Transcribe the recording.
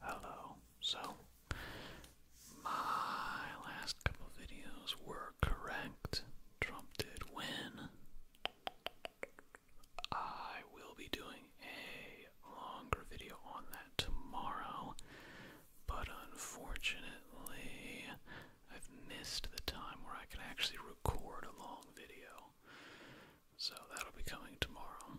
Hello. So, my last couple videos were correct. Trump did win. I will be doing a longer video on that tomorrow, but unfortunately, I've missed the time where I can actually record a long video. So that'll be coming tomorrow.